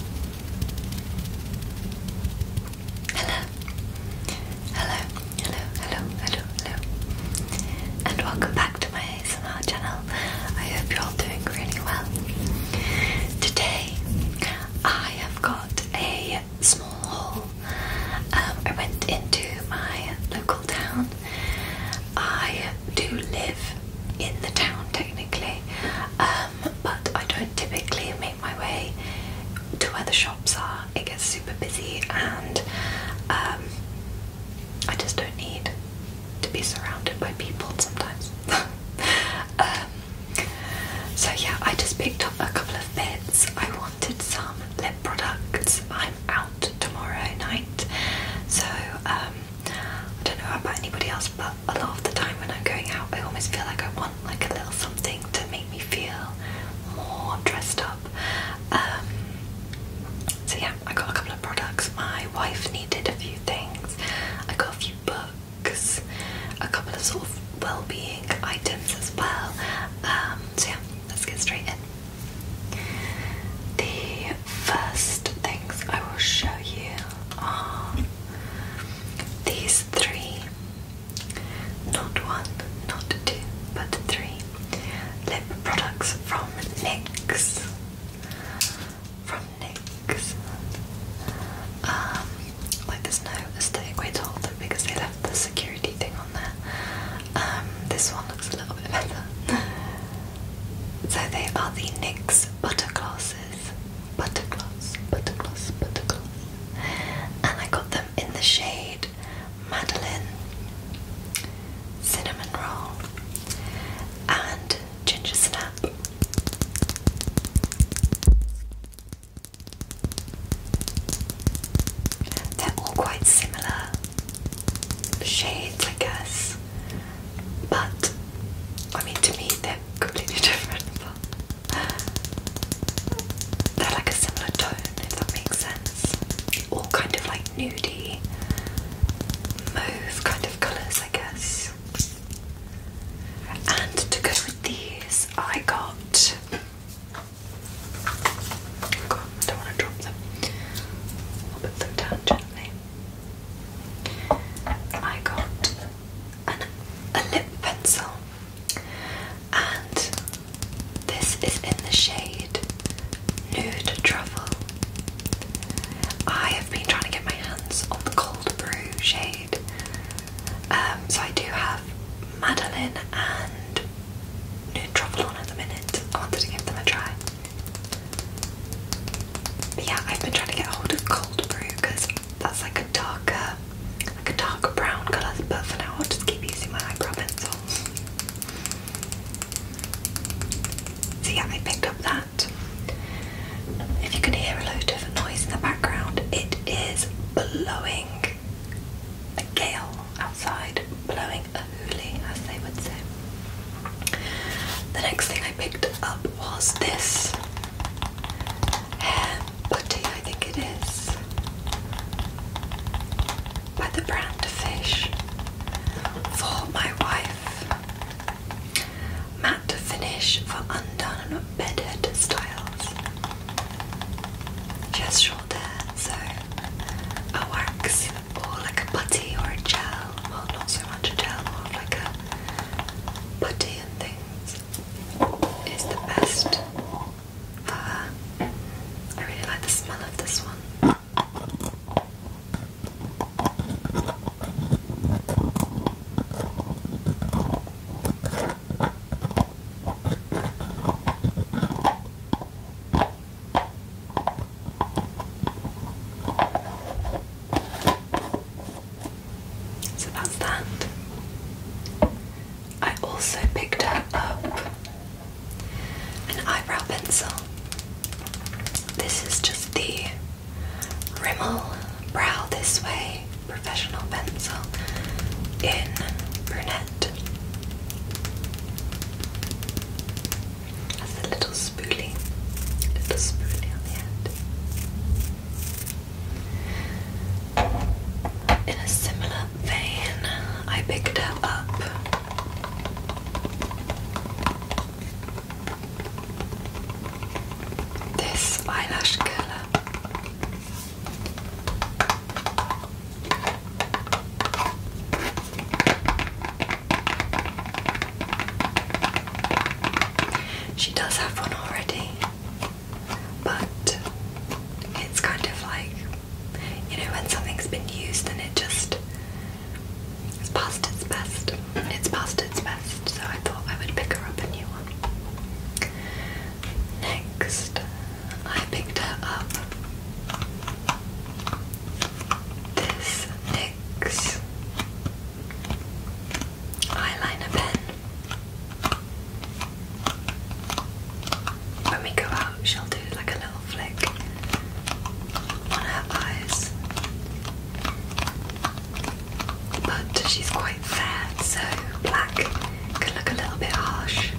Hello. Hello, hello, hello, hello, hello. And welcome back to my ASMR channel. I hope you're all doing really well. Today I have got a small haul. Um, I went into my local town. I do live in the town technically. Um, but I don't typically make my way to where the shops are. It gets super busy, and um, I just don't need to be surrounded by people sometimes. Um, so yeah, I just picked up a couple of bits. I wanted some lip products. I'm out tomorrow night, so um, I don't know about anybody else, but a lot of the time when I'm going out, I almost feel like I want like a little something to make me feel more dressed up. Um, so yeah, I got a couple of products. My wife needed a few things. I got a few books, a couple of sort of well-being items as well. Um, so yeah, let's get straight in. The first things I will show you are these three, not one, not two, but three lip products from NYX. From NYX. Um, like there's no aesthetic way to hold it because they left the security thing on there. Um, this one looks a little bit better. so they are the NYX Butter Gloss glasses, butter gloss, and I got them in the shade Madeline, Cinnamon Roll, and Ginger Snap. They're all quite similar shades, I guess, but I mean, to me, they're completely different. But they're like a similar tone, if that makes sense. All kind of like nudie, mauve kind of colours, I guess. And to go with these, I got. don't want to drop them. put them down gently. I got an, a lip pencil, and this is in the shade Nude Truffle. I have been trying to get my hands on the Cold Brew shade, um, so I do have Madeline and Nude Truffle on at the minute. I wanted to give them a try yeah, I've been trying to get hold of cold brew because that's like a darker, like a darker brown colour. But for now, I'll just keep using my eyebrow pencil. So I picked up that. If you can hear a load of noise in the background, it is blowing a gale outside, blowing a hoolie, as they would say. The next thing I picked up was this hair putty, I think it is, by the brand Fish for my wife. Matte finish for undone and embedded styles. She short hair, so a wax or like a putty or a gel. Well, not so much a gel, more like a putty and is the best I really like the smell of this one. So that's that. I also picked up an eyebrow pencil. This is just the Rimmel Brow This Way Professional Pencil in Brunette. That's a little spoolie. little spoolie on the end. In a similar vein, I picked up. This eyelash curler. She does have one already, but it's kind of like you know when something's been used and it just it's past its best. It's past its best, so I thought I would pick her up a new one. Next, I picked her up this NYX eyeliner pen. When we go out, she'll do like a little flick on her eyes. But she's quite fair, so black can look a little bit harsh.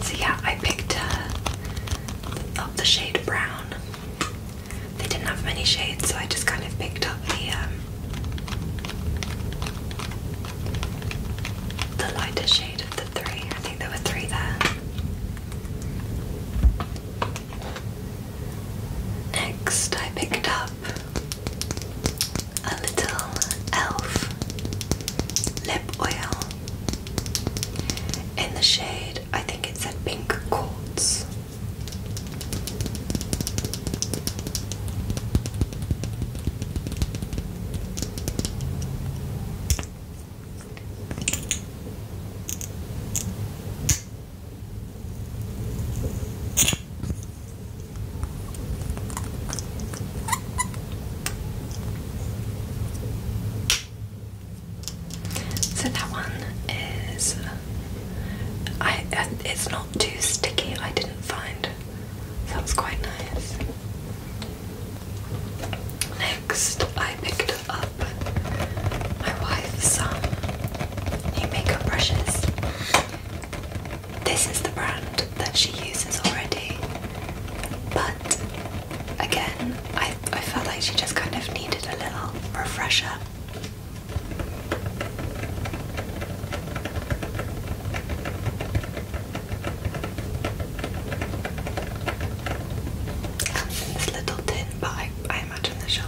So yeah, I picked uh, up the shade brown. They didn't have many shades, so I just kind of picked up the um, the lighter shade of the three. I think there were three there. Next, I picked up a little elf lip oil in the shade, I think it said pink quartz. So that one is, I it's not too sticky. I didn't find. Sounds quite nice. Next, I picked up my wife's some um, new makeup brushes. This is the brand that she uses already, but again, I, I felt like she just kind of needed a little refresher. this little tin, but imagine that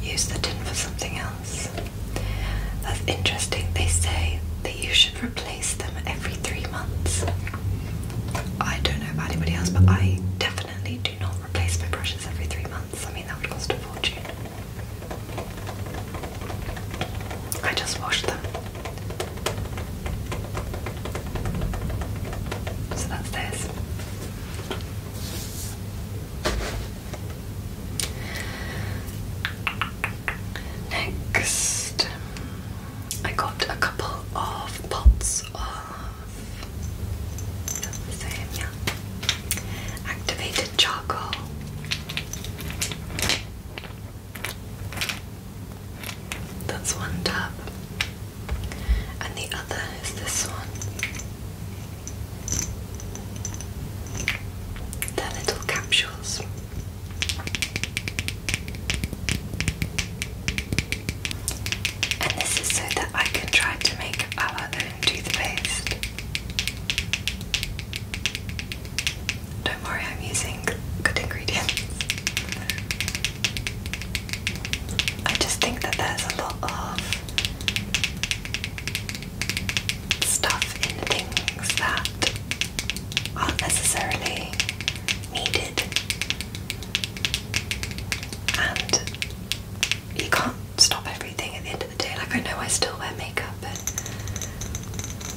will use the tin for something else. That's interesting. They say that you should replace them every three months. I don't know about anybody else, but I definitely do not replace my brushes every three months. I mean, that would cost a fortune. I just wash them. So that's this. Next, I got a couple of pots of activated charcoal. That's one tap and the other is this one. they little capsules. And this is so that I can try to make our own toothpaste. Don't worry, I'm using good ingredients. I just think that there's a lot of stuff in the things that aren't necessarily needed. And you can't stop everything at the end of the day. Like, I know I still wear makeup and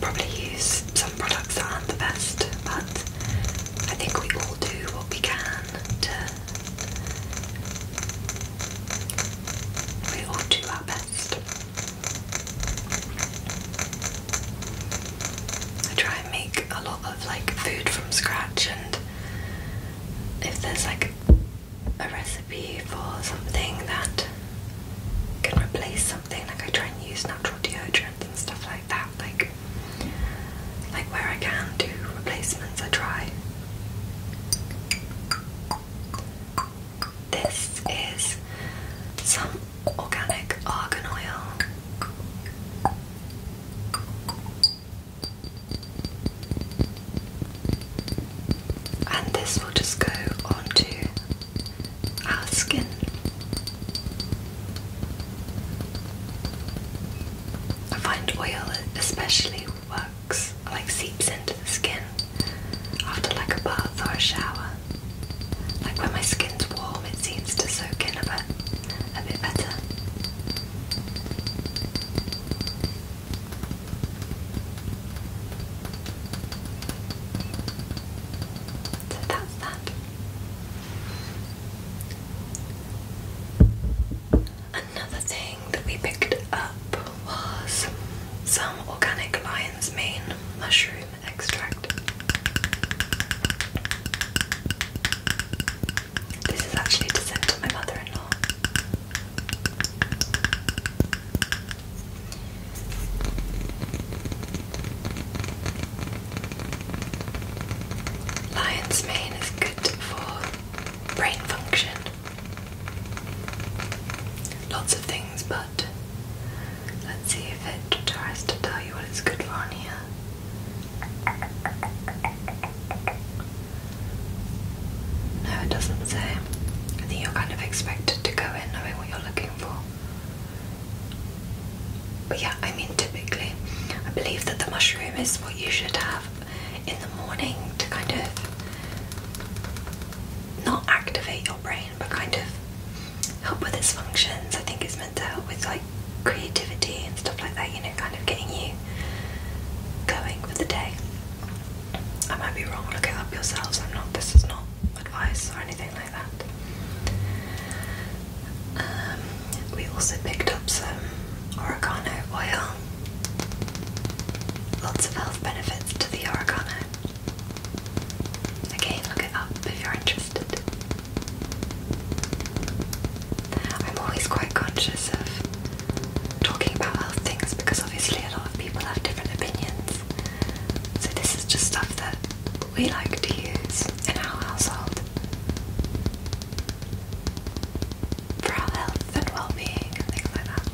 probably use some products that aren't the best, but I think we all do what we can to we all do our best. I try and make a lot of like food from scratch, and if there's like a recipe for something that can replace something, like I try and use natural deodorants and stuff like that. Like like where I can do replacements I try. This is some organic argan oil. And this will just go onto our skin. I find oil especially works, like seeps into the skin after like a bath or a shower. Like when my skin's warm, it seems to soak in a bit, a bit better. So that's that. Another thing that we picked up was some organic lion's mane mushroom extract. This is actually to send to my mother in law. Lion's mane is good for brain function. Lots of things, but let's see if it tries to tell you what it's good for on here. No, it doesn't say. I think you're kind of expected to go in knowing what you're looking for. But yeah, I mean, typically, I believe that the mushroom is what you should have in the morning to kind of not activate your brain, but kind of help with its functions. I think it's meant to help with like creativity and stuff like that, you know, kind of getting you going with the day. I might be wrong, look it up yourselves. I'm not, this is not advice or anything like that. Um, we also picked up some oregano oil. Lots of health benefits to the oregano. Again, look it up if you're interested. I'm always quite conscious of talking about health things because obviously a lot of people have different opinions. So this is just stuff that we like to use in our household for our health and well being and things like that.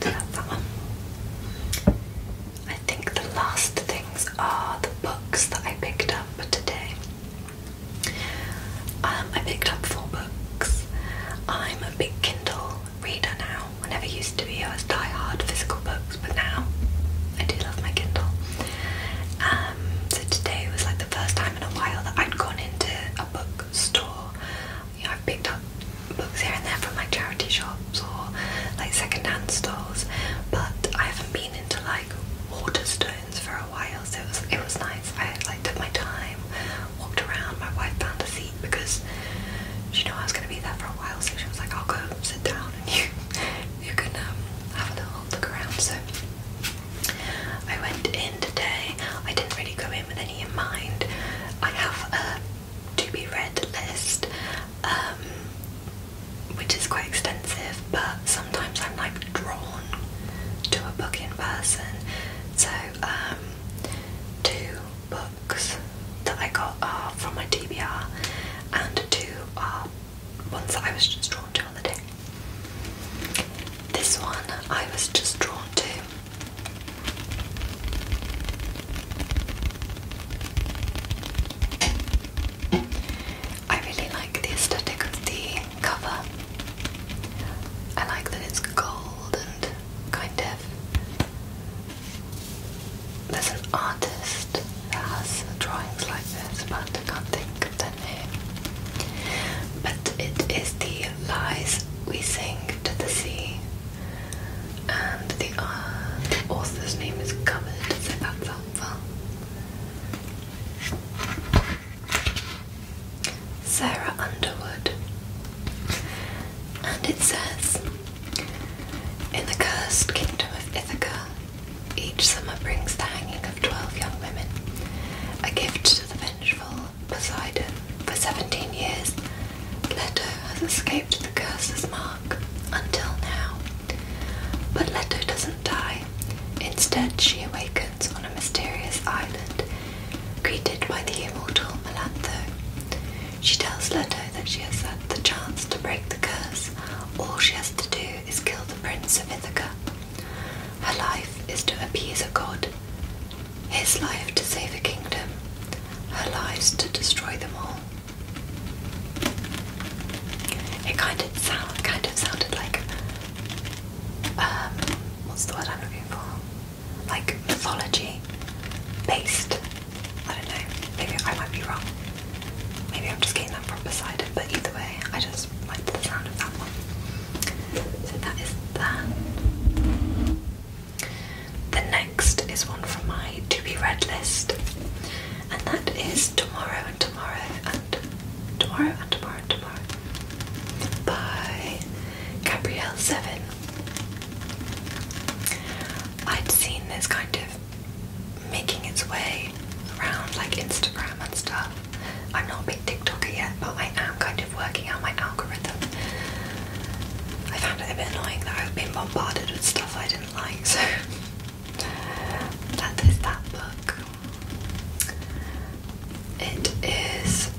So that one. I think the last things are the books that I picked up today. Um, I picked up four books. I'm a big Kindle reader now. I never used to be. I was die-hard physical books, but now I do love my Kindle. Um, so today was like the first time in a while that I'd gone into a bookstore. You I've picked up books here and there from like charity shops or like secondhand stores, but I haven't been into like Waterstones for a while. So it was it was nice. I like took my time, walked around. My wife found a seat because she knew I was going to be there for a while, so she was like, I'll go sit down and you, you can um, have a little look around. So I went in today. I didn't really go in with any in mind. I have a to be read list, um, which is quite extensive, but sometimes I'm like drawn to a book in person. So um, Two books that I got are uh, from my DBR, and two are uh, ones that I was just drawn to on the day. This one I was just drawn to. I really like the aesthetic of the cover. I like that it's gold and kind of. There's an artist that has drawings like this, but I can't think of the name. But it is the lies we sing to the sea, and the, uh, author's name is covered, so that's helpful. Sarah Underwood. And it says In the cursed kingdom of Ithaca, each summer brings the hanging of twelve young women, a gift to the vengeful Poseidon. For seventeen years, Leto has escaped the curse's mark until now. But Leto doesn't die. Instead, she awakens on a mysterious island Greeted by the immortal Melantho, she tells Leto that she has had the chance to break the curse. All she has to do is kill the prince of Ithaca. Her life is to appease a god, his life to save a kingdom, her lives to destroy them all. It kind of sounded like um, what's the word I'm looking for? Like mythology based. I don't know. Maybe I might be wrong. Maybe I'm just getting that from Poseidon, but either way, I just like the sound of that one. So that is that. The next is one from my to be read list, and that is tomorrow and tomorrow and tomorrow and tomorrow and tomorrow by Gabrielle Seven. I'd seen this kind of making its way around like Instagram and stuff. I'm not a big TikToker yet, but I am kind of working out my algorithm. I found it a bit annoying that I've been bombarded with stuff I didn't like, so that is that book. It is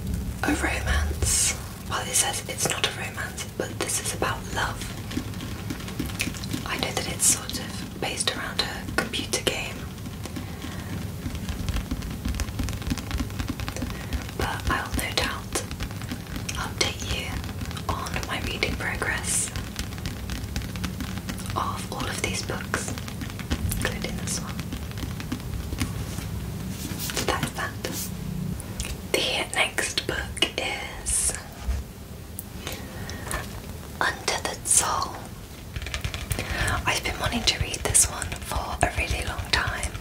a romance. Well, it says it's not a romance, but this is about love. I know that it's sort of based around a computer game, but I'll no doubt update you on my reading progress of all of these books that's that. The next book is Untethered Soul. I've been wanting to read this one for a really long time.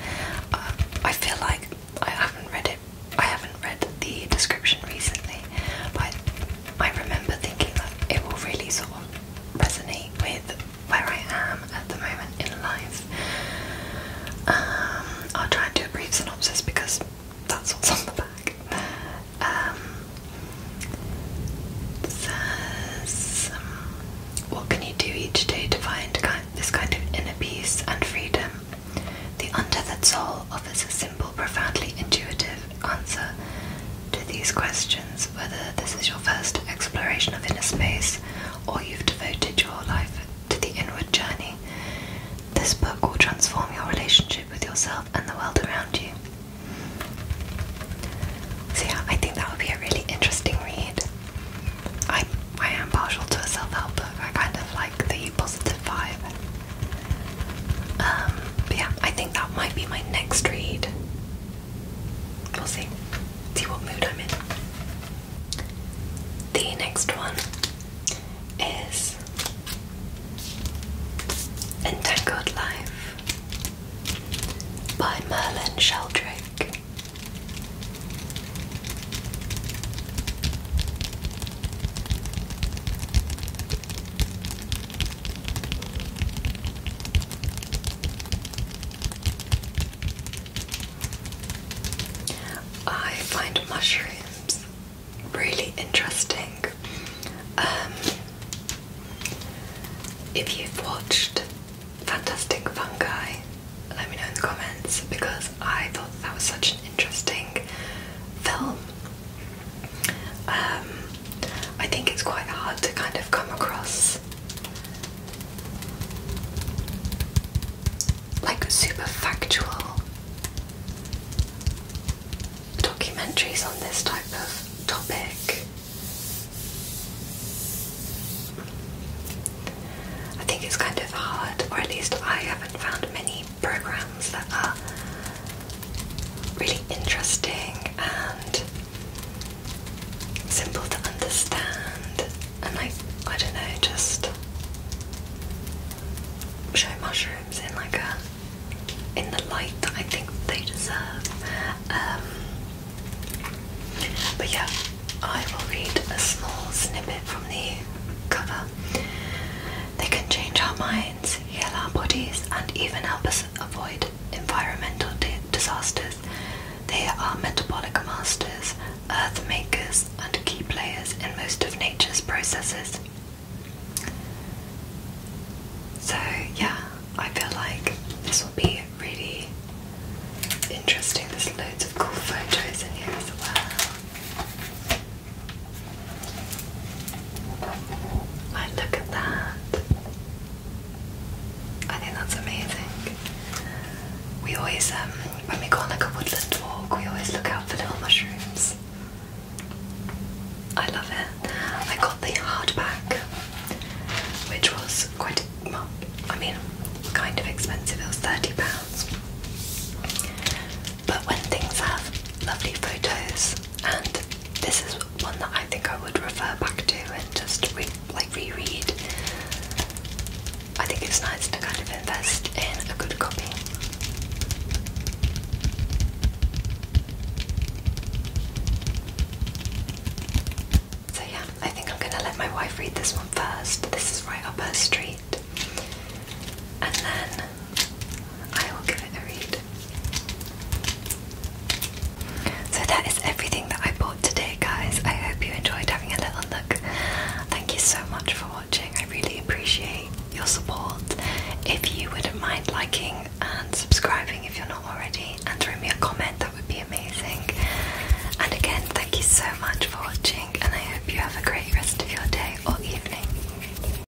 Uh, I feel like I haven't read it. I haven't read the description recently, but I remember thinking that it will really sort of resonate with where I am at the moment in life. Um, I'll try and do a brief synopsis because that's what's on the back. Um, says, um, what can you do each day to find this kind of inner peace and freedom? The untethered soul offers a simple, profoundly intuitive, answer to these questions, whether this is your first exploration of inner space or you've devoted your life to the inward journey. This book will transform your relationship with yourself and the world around you. So yeah, I think that would be a really interesting read. I I am partial to a self-help book. I kind of like the positive vibe. Um, but yeah, I think that might be my next read. We'll see. See what mood I'm in. The next one is Entangled Life by Merlin Sheldrake. I find mushrooms really interesting. Um, if you've watched Fantastic Fungi, let me know in the comments because I thought that was such an interesting film. Um, I think it's quite hard to kind of come across like super factual documentaries on this type of topic. I think it's kind of hard, or at least I haven't found many programs that are really interesting and simple to understand and like I don't know just show mushrooms in like a in the light that I think they deserve um, but yeah I will read a small snippet from the cover they can change our minds heal our bodies and even help us avoid environmental disasters. They are metabolic masters, earth makers, and key players in most of nature's processes. So, yeah, I feel like this will be really interesting. There's loads of cool photos in here as well. Wow, look at that. I think that's amazing. We always, um, when we go on like a woodland walk, we always look out for little mushrooms. I love it. I got the hardback, which was quite, I mean, kind of expensive. It was £30. But when things have lovely photos and this is one that I think I would refer back to and just like reread. I think it's nice to kind of invest in a good copy. So yeah, I think I'm gonna let my wife read this one first. This is right up her street. And then I will give it a read. So that is everything that I bought today, guys. I hope you enjoyed having a little look. Thank you so much for watching. I really appreciate your support. If you wouldn't mind liking and subscribing if you're not already, and throw me a comment, that would be amazing. And again, thank you so much for watching, and I hope you have a great rest of your day or evening.